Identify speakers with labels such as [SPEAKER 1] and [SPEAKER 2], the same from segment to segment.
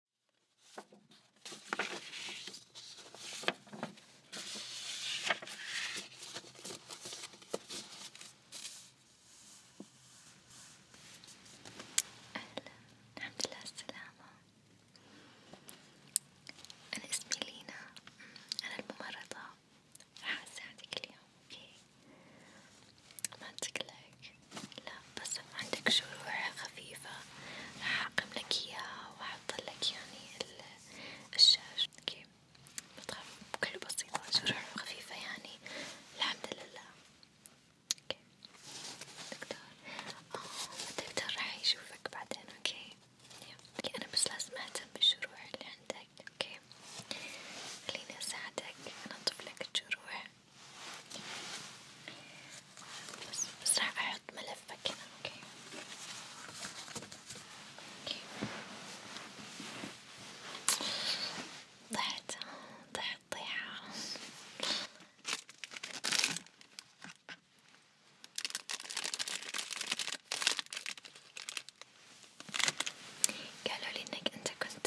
[SPEAKER 1] الحمد لله السلامة أنا اسمي لينا أمم، أنا الممرضة راح أساعدك اليوم أوكي ما تقلق لا بس عندك شروع خفيفة راح أعقم لك إياها وأحط لك يعني الشاش أوكي بتخاف كله بسيطة شروع خفيفة يعني الحمد لله أوكي دكتور آه الدكتور راح يشوفك بعدين أوكي أوكي أنا بس لازم أهتم بالشروع اللي عندك أوكي خليني أساعدك أنظف لك الجروح بس بس راح أحط ملفك كذا أوكي أوكي ضحت ضحت ضيعة قالوا لي إنك أنت كنت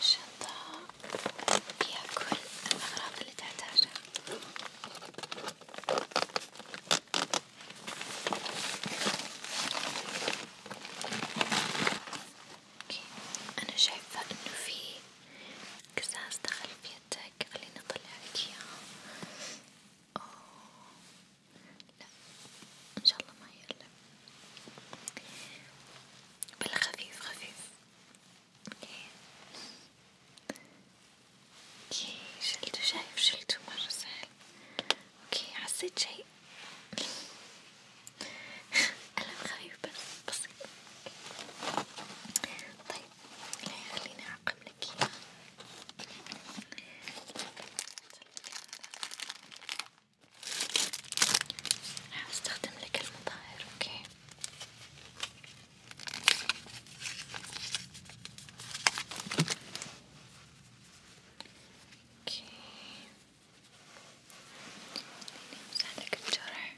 [SPEAKER 1] شنطة فيها كل الأغراض اللي تحتاجها أوكي أنا شايفة إنه في قزاز دخل في يدك خليني أطلع لك إياه لا ان شاء الله ما يقلب بلا خفيف خفيف اوكي اوكي شلته شايف شلته مرة سهل اوكي حسيت شي ألم خفيف بس بسيط طيب خليني أعقم لك راح استخدم لك المظاهر اوكي اوكي مساعدك الجرح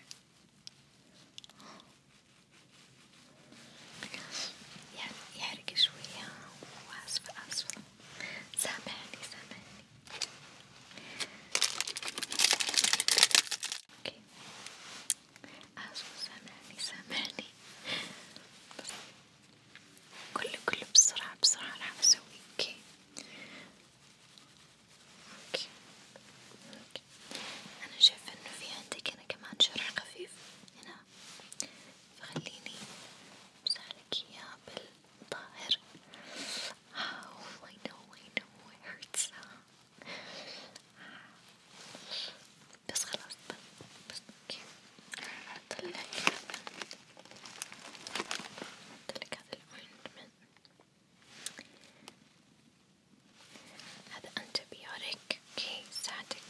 [SPEAKER 1] يعني يحرق شوية وأسفة أسفة سامعني سامعني اوكي اسف سامعني سامعني كله كله بسرعة بسرعة راح اسوي اوكي اوكي اوكي انا شايفة انه في عندك هنا كمان شرح خفيف هنا الشعر فخليني أمسحلك إياه بالطاهر Oh I know I know it hurts بس خلاص بس اوكي هطلع هطلع هذا الأوينتمنت هذا أنتبيوتيك اوكي يساعدك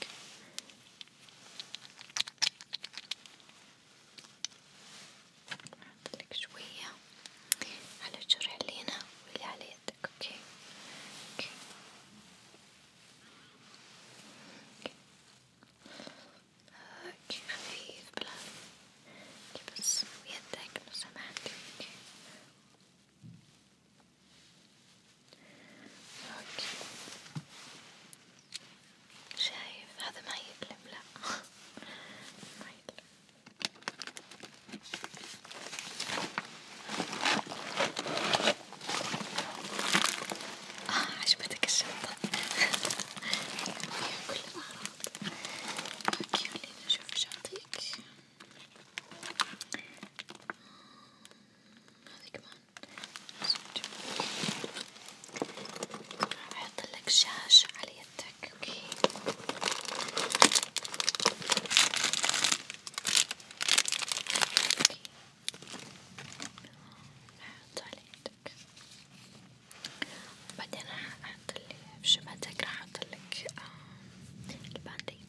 [SPEAKER 1] أعطلك شوية على الجرح اللي هنا واللي على يدك أوكي أوكي أوكي خفيف بلا أوكي بس ويدك لو سمحت أوكي اوكي شايف هذا ما يألم لا ما يألم آه عجبتك الشنطة فيها كل الأغراض اوكي خليني أشوف ايش أعطيك هذي كمان راح أحطلك شاش على يدك أوكي أوكي راح على يدك بعدين راح أحطلك في شبهتك آه، راح أحطلك البانديد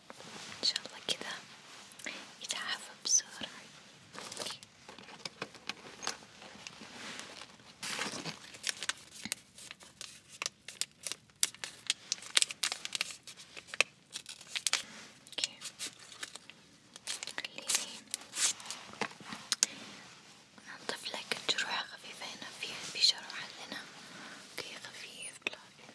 [SPEAKER 1] ان شاء الله كذا يتعافى بسرعة خليني ننظف لك جروح خفيفة هنا في شرح لنا اوكي خفيف لكن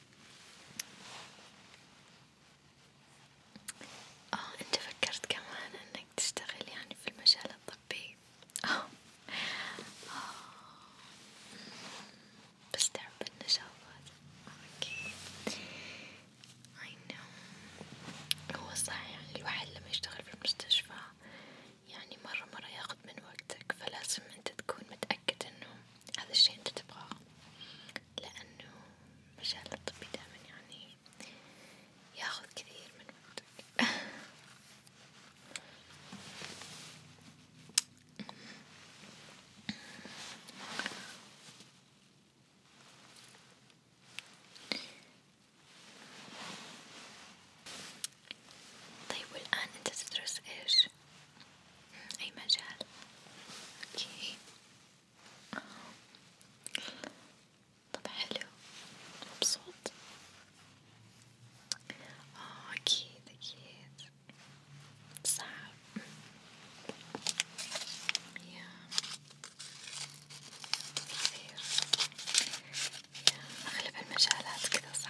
[SPEAKER 1] اه انت فكرت كمان انك تشتغل يعني في المجال الطبي اه, آه. بس تعب النشاطات اوكي I know هو صح يعني الواحد لما يشتغل في المستشفى يعني مرة مرة ياخد من وقتك فلازم انت تكون متأكد انه هذا الشي أنت تبغاه لأنه المجال الطبي دائما يعني ياخذ كثير من وقتك طيب والآن أنت تدرس إيش؟ أي مجال أوكي طب حلو مبسوط آه أكيد أكيد صعب يا كثير يا أغلب المجالات كذا صعبة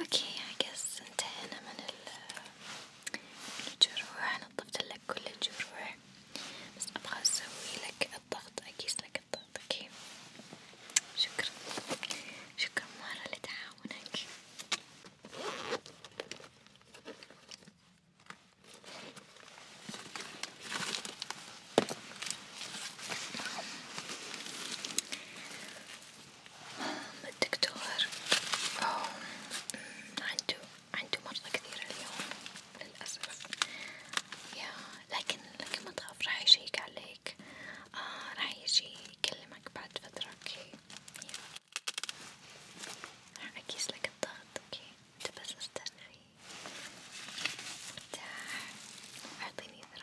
[SPEAKER 1] اوكي احس انتهينا من الجروح انا طفت لك كل الجروح بس ابغى اسوي لك الضغط اقيس لك الضغط اوكي شكرا شكرا مرة لتعاونك الدكتور عنده عنده مرضى كثير اليوم للأسف يا لكن لكن ما تخاف راح يجيك عليك آه راح يجي يكلمك بعد فترة اوكي راح أكيس لك الضغط اوكي انت بس استرخي ارتاح اعطيني ذراعك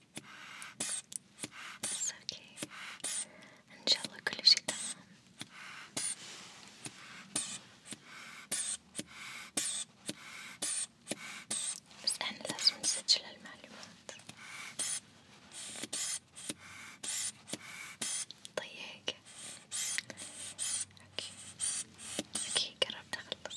[SPEAKER 1] بس اوكي ان شاء الله كل شي تمام بس احنا لازم نسجل المعلومات طيب اوكي اوكي قربت اخلص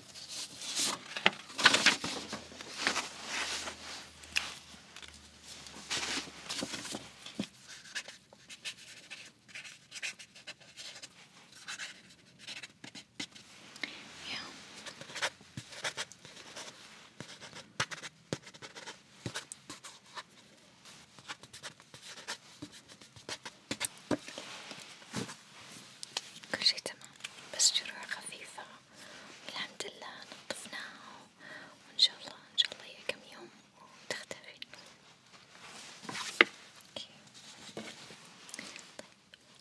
[SPEAKER 1] Yeah. كل شي تمام بس جروح خفيفة الحمد لله نظفناها وان شاء الله ان شاء الله هي كم يوم وتختفي اوكي طيب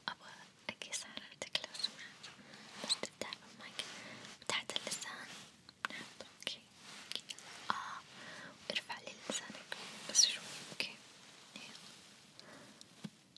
[SPEAKER 1] ابغى اقيس حرارتك لو سمحت بس تبدأ معك تحت اللسان نحط اوكي اه وارفع لي لسانك بس شوي اوكي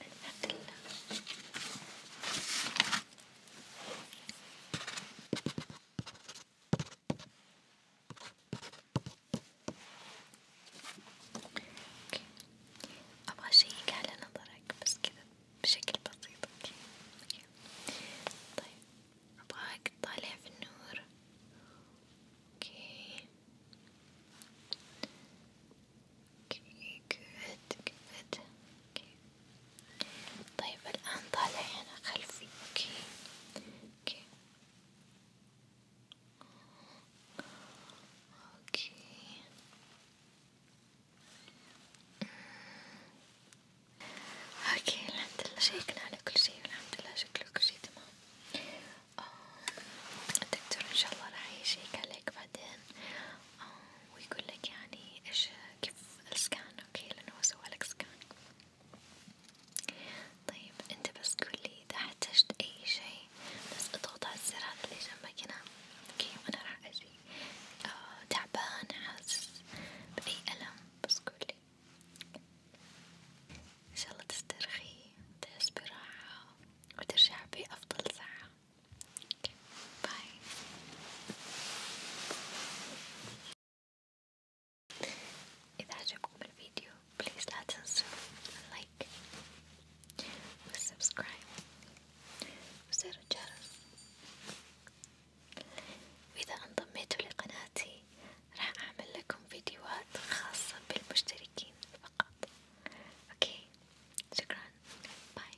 [SPEAKER 1] الأكل أوكي أبغى أشيك على نظرك بس كذا بشكل بسيط أوكي طيب أبغاك تطالع في النور Okay. Okay, good, good. Okay. طيب الآن طالع هنا خلفي. Okay. Okay. Okay. اوكي الحمد لله شيكنا على كل شيء والحمد لله شكله كل شيء تمام الدكتور إن شاء الله راح يشيك عليك بعدين آه، ويقول لك يعني إيش كيف السكان أوكي لأنه هو سوالك سكان طيب أنت بس قولي إذا احتجت أي شيء بس اضغط على الزر هذا اللي جنبك هنا أوكي وأنا راح أجي آه، تعبان حاسس بأي ألم بس قولي إن شاء الله تسترخي وتحس براحة وترجع بأفضل ساعة باي إذا عجبكم الفيديو بليز لا تنسوا اللايك والسبسكرايب وزر الجرس وإذا انضميتوا لقناتي راح أعمل لكم فيديوهات خاصة بالمشتركين فقط، أوكي؟ شكرا، باي.